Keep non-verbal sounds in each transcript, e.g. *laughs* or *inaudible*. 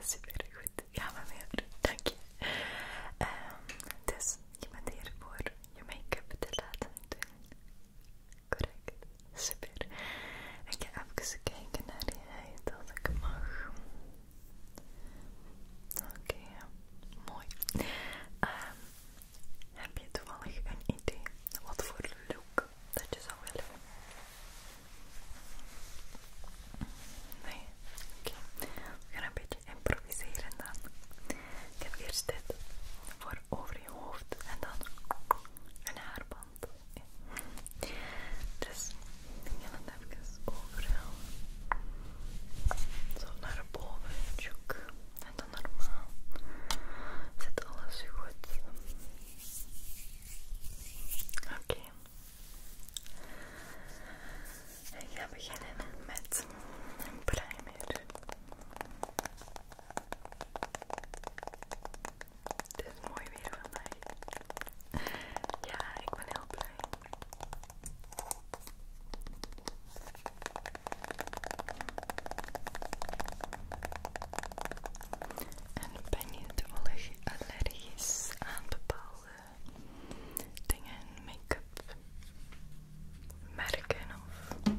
Super goed. Ja, maar meer. Dank je. Ehm, dus je bent hier voor je make-up te laten doen. Correct. Super. Ik ga even kijken naar die huid als ik mag. Oké, mooi. Ehm, heb je toevallig een idee wat voor look dat je zou willen. Nee? Oké. We gaan een beetje improviseren dan. Ik heb eerst dit voor over je hoofd en dan een haarband. Dus ik ga het even overal zo naar boven, En dan normaal zit alles goed. Oké. Ik ga beginnen met een primer. Het is mooi weer van mij. Ja, ik ben heel blij. En ben je toevallig allergisch aan bepaalde dingen, make-up, merken of...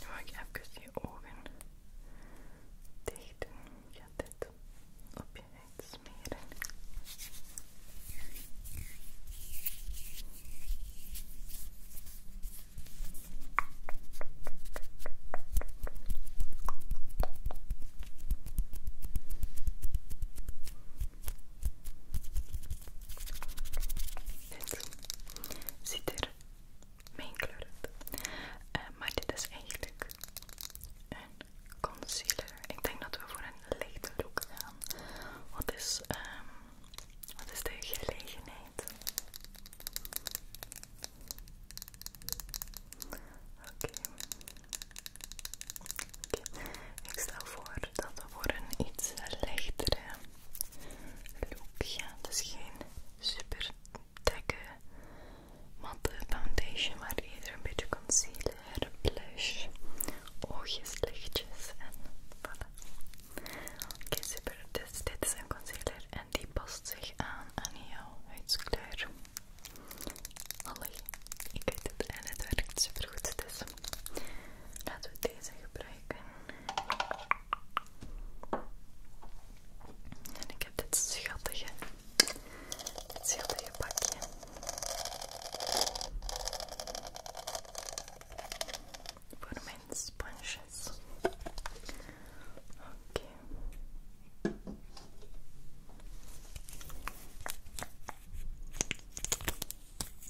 Ga ik even je ogen dicht doen. ga dit op je huid smeren. Dit ziet er meenkleurend. Eh, maar dit is eigenlijk een concealer. Ik denk dat we voor een lichte look gaan. Wat is, ehm, wat is de gelegenheid? Oké. Oké, Ik stel voor dat voor een iets lichtere look. dus geen super dikke matte foundation, maar eerder een beetje concealer, blush, oogjes lichtjes en voilà. Oké, super. Dus dit is een concealer en die past zich aan aan jouw huidskleur. Allee, ik weet het en het werkt super goed. Dus Laten we deze gebruiken. En ik heb dit schattige, dit schattige pakje. Voor mijn sponsjes. Oké.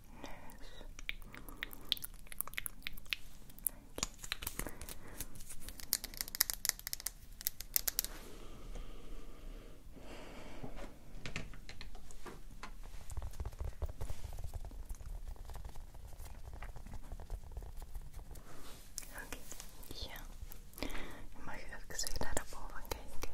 Okay. Oké, ja. Je mag even zo naar de boven kijken.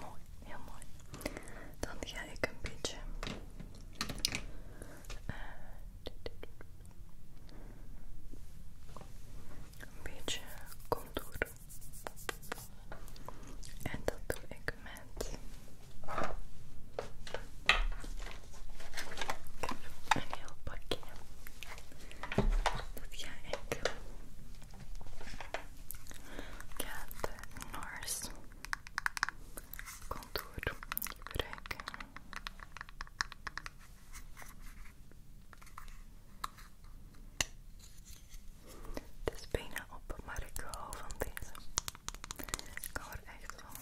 Mooi, heel mooi. Dan ga ik een beetje eh, een beetje contour. En dat doe ik met een heel pakje dat ik ga de contour gebruiken. Het bijna op, maar van deze. Ik hou er echt van.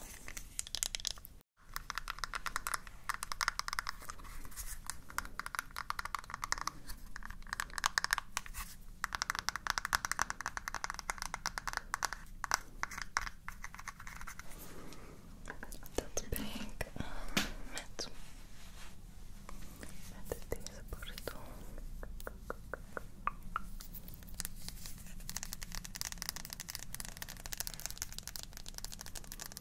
Dat ben ik eh, met, met deze borstel.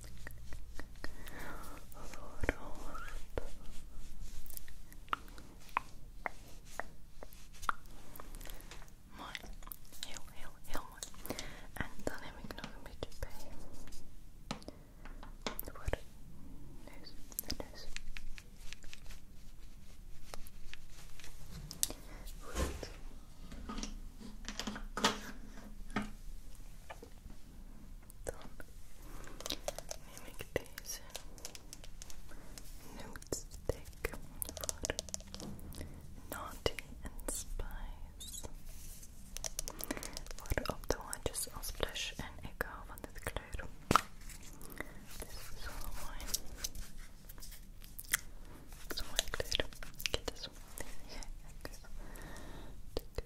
voorhoofd, heel heel heel mooi. En dan heb ik nog een beetje bij dan neem ik deze notestick voor Naughty and Spice. Voor op de handjes als blush en ik hou van dit kleur. Dit is zo dus mooi. zo mooi kleur. Dit is zo mooi.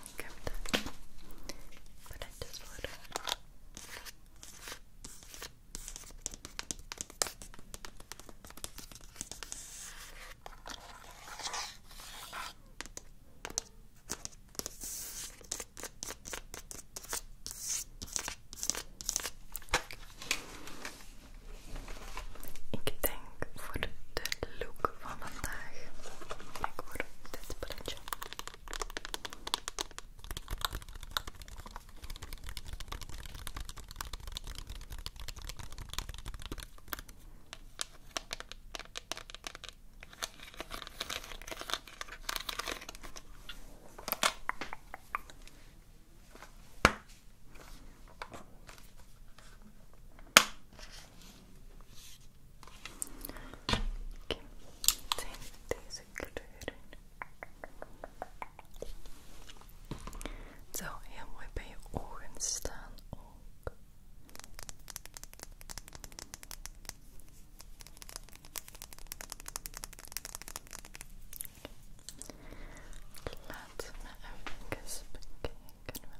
Ik de paletjes voor denk voor de look vlog van vandaag. Ik word dit printje. Okay. zijn deze kleuren. zo zou heel mooi bij je ogen staan Laat me we even bekijken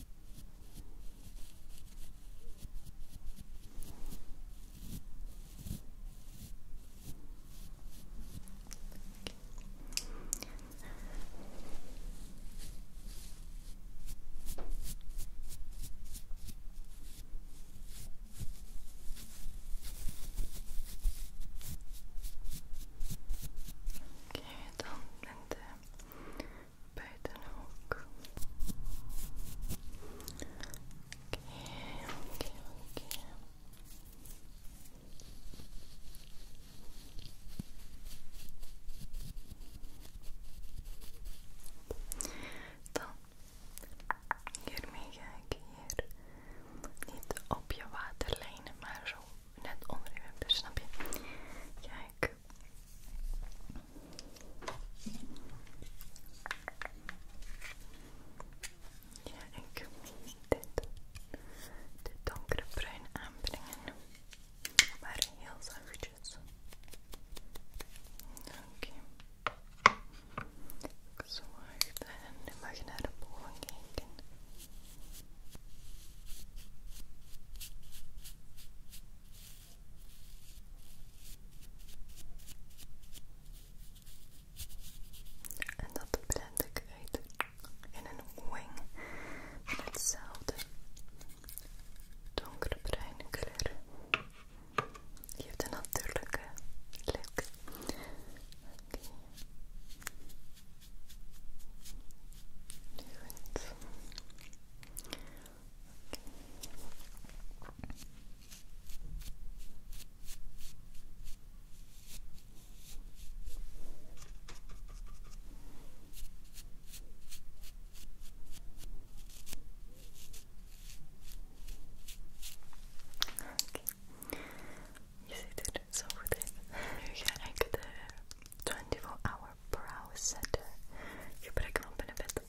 Oké, okay, dan eh, bij ook. Oké, oké, Dan, hiermee ga ik hier niet op je waterlijnen, maar zo net onder je wimpers, snap je? Ga ja, ik dit, dit donkere bruin aanbrengen, maar heel zachtjes. Oké. Okay. Zo wacht en nu mag je naar de boven kijken. En dat blend ik uit in een wing hetzelfde donkere bruine kleur. Die heeft een natuurlijke look. Goed. Okay. Je ziet er zo goed in. Nu ga ik de 24 Hour Brow Setter gebruiken van Benefit.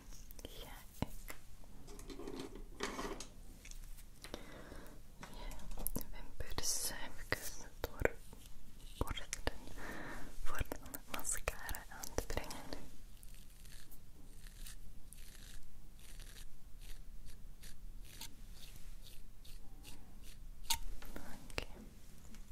ga ik je wimperen even doorborstelen voordat de mascara aan te brengen. Oké.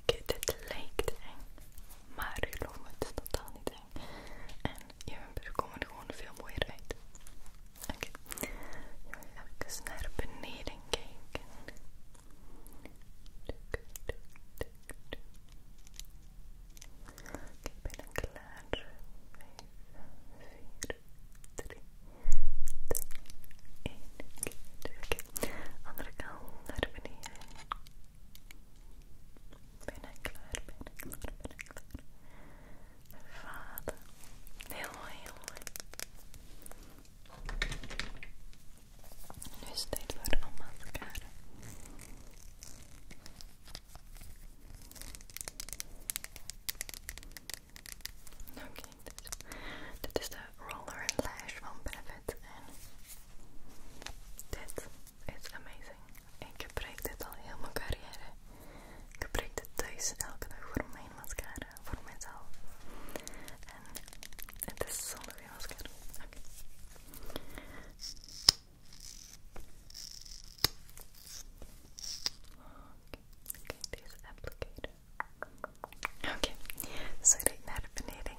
Oké, dit lijkt eng, maar geloof me, het is totaal niet eng. En je wimpers komen er gewoon veel mooier uit. Oké, even naar beneden kijken. Oké, ben ik klaar. 5, 4, 3, 2, 1. Oké, andere kant naar beneden. Bijna klaar, bijna klaar, bijna klaar. Vader. Heel mooi, heel mooi. Nu is het tijd voor een mascara. Oké, okay, dit. dit is de Roller and Lash van Benefit en dit is amazing. Ik gebruik dit al heel mijn carrière. Ik gebruik dit thuis elke dag voor mijn mascara, voor mezelf. En het is zonder goede mascara. Oké. Okay. deze applicator. Oké, okay. zo ik naar beneden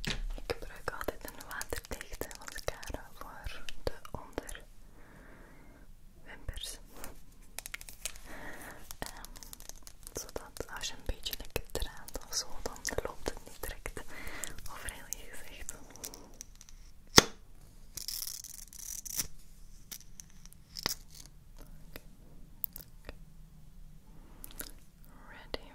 Ik gebruik altijd een waterdichte eh, mascara voor de onderwimpers. Ehm, zodat als je een beetje lekker draait of zo, dan loopt het niet direct over heel je gezicht. Ready.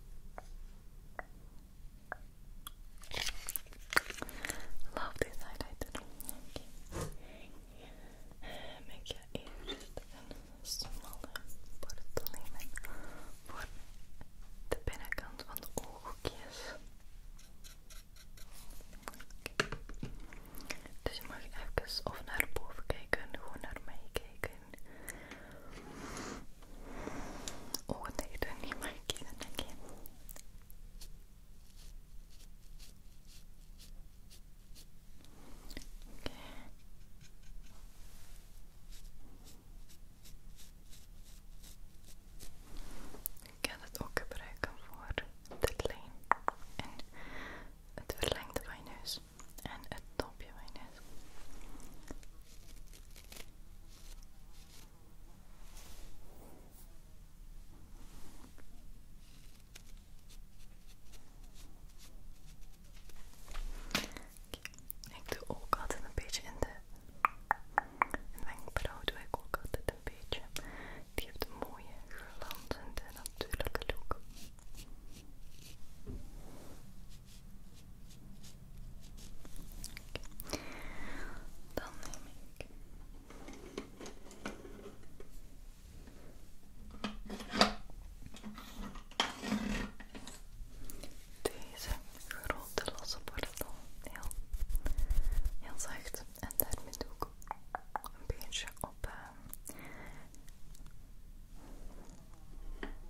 Love this highlighter. Okay. Make your ears een smalle te voor de binnenkant van de oogjes. Dus je mag even of naar boven kijken, gewoon naar mij kijken ogen dicht doen, niet maar kiezen, oké? Okay. Ik kan het ook gebruiken voor dit lijn en het verlengde van neus en het topje mijn net Ik doe ook altijd een beetje in de wenkbrauw doe ik ook altijd een beetje. Die heeft een mooie glanzende natuurlijke look. Dan neem ik deze grote losse borrel heel, heel zacht en daarmee doe ik een beetje op. Eh,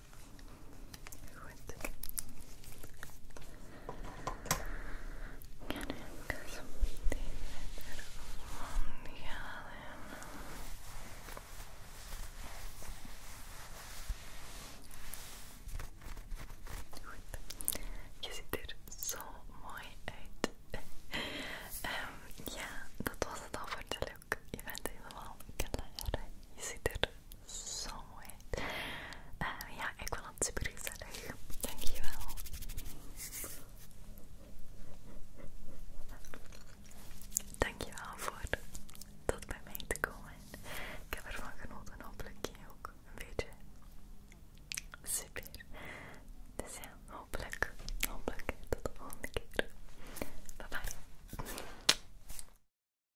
Goed. Kan ik zo meteen Goed. Je ziet er zo mooi uit. *laughs* Ehm, ja, dat was het al voor de look. Je bent helemaal klaar. Je ziet er zo mooi. Ehm, ja, ik vond het super gezellig. je je Dankjewel voor dat bij mij te komen. Ik heb ervan genoten. Hopelijk ook een beetje. Super. Dus ja, hopelijk. Hopelijk tot de volgende keer. Bye bye.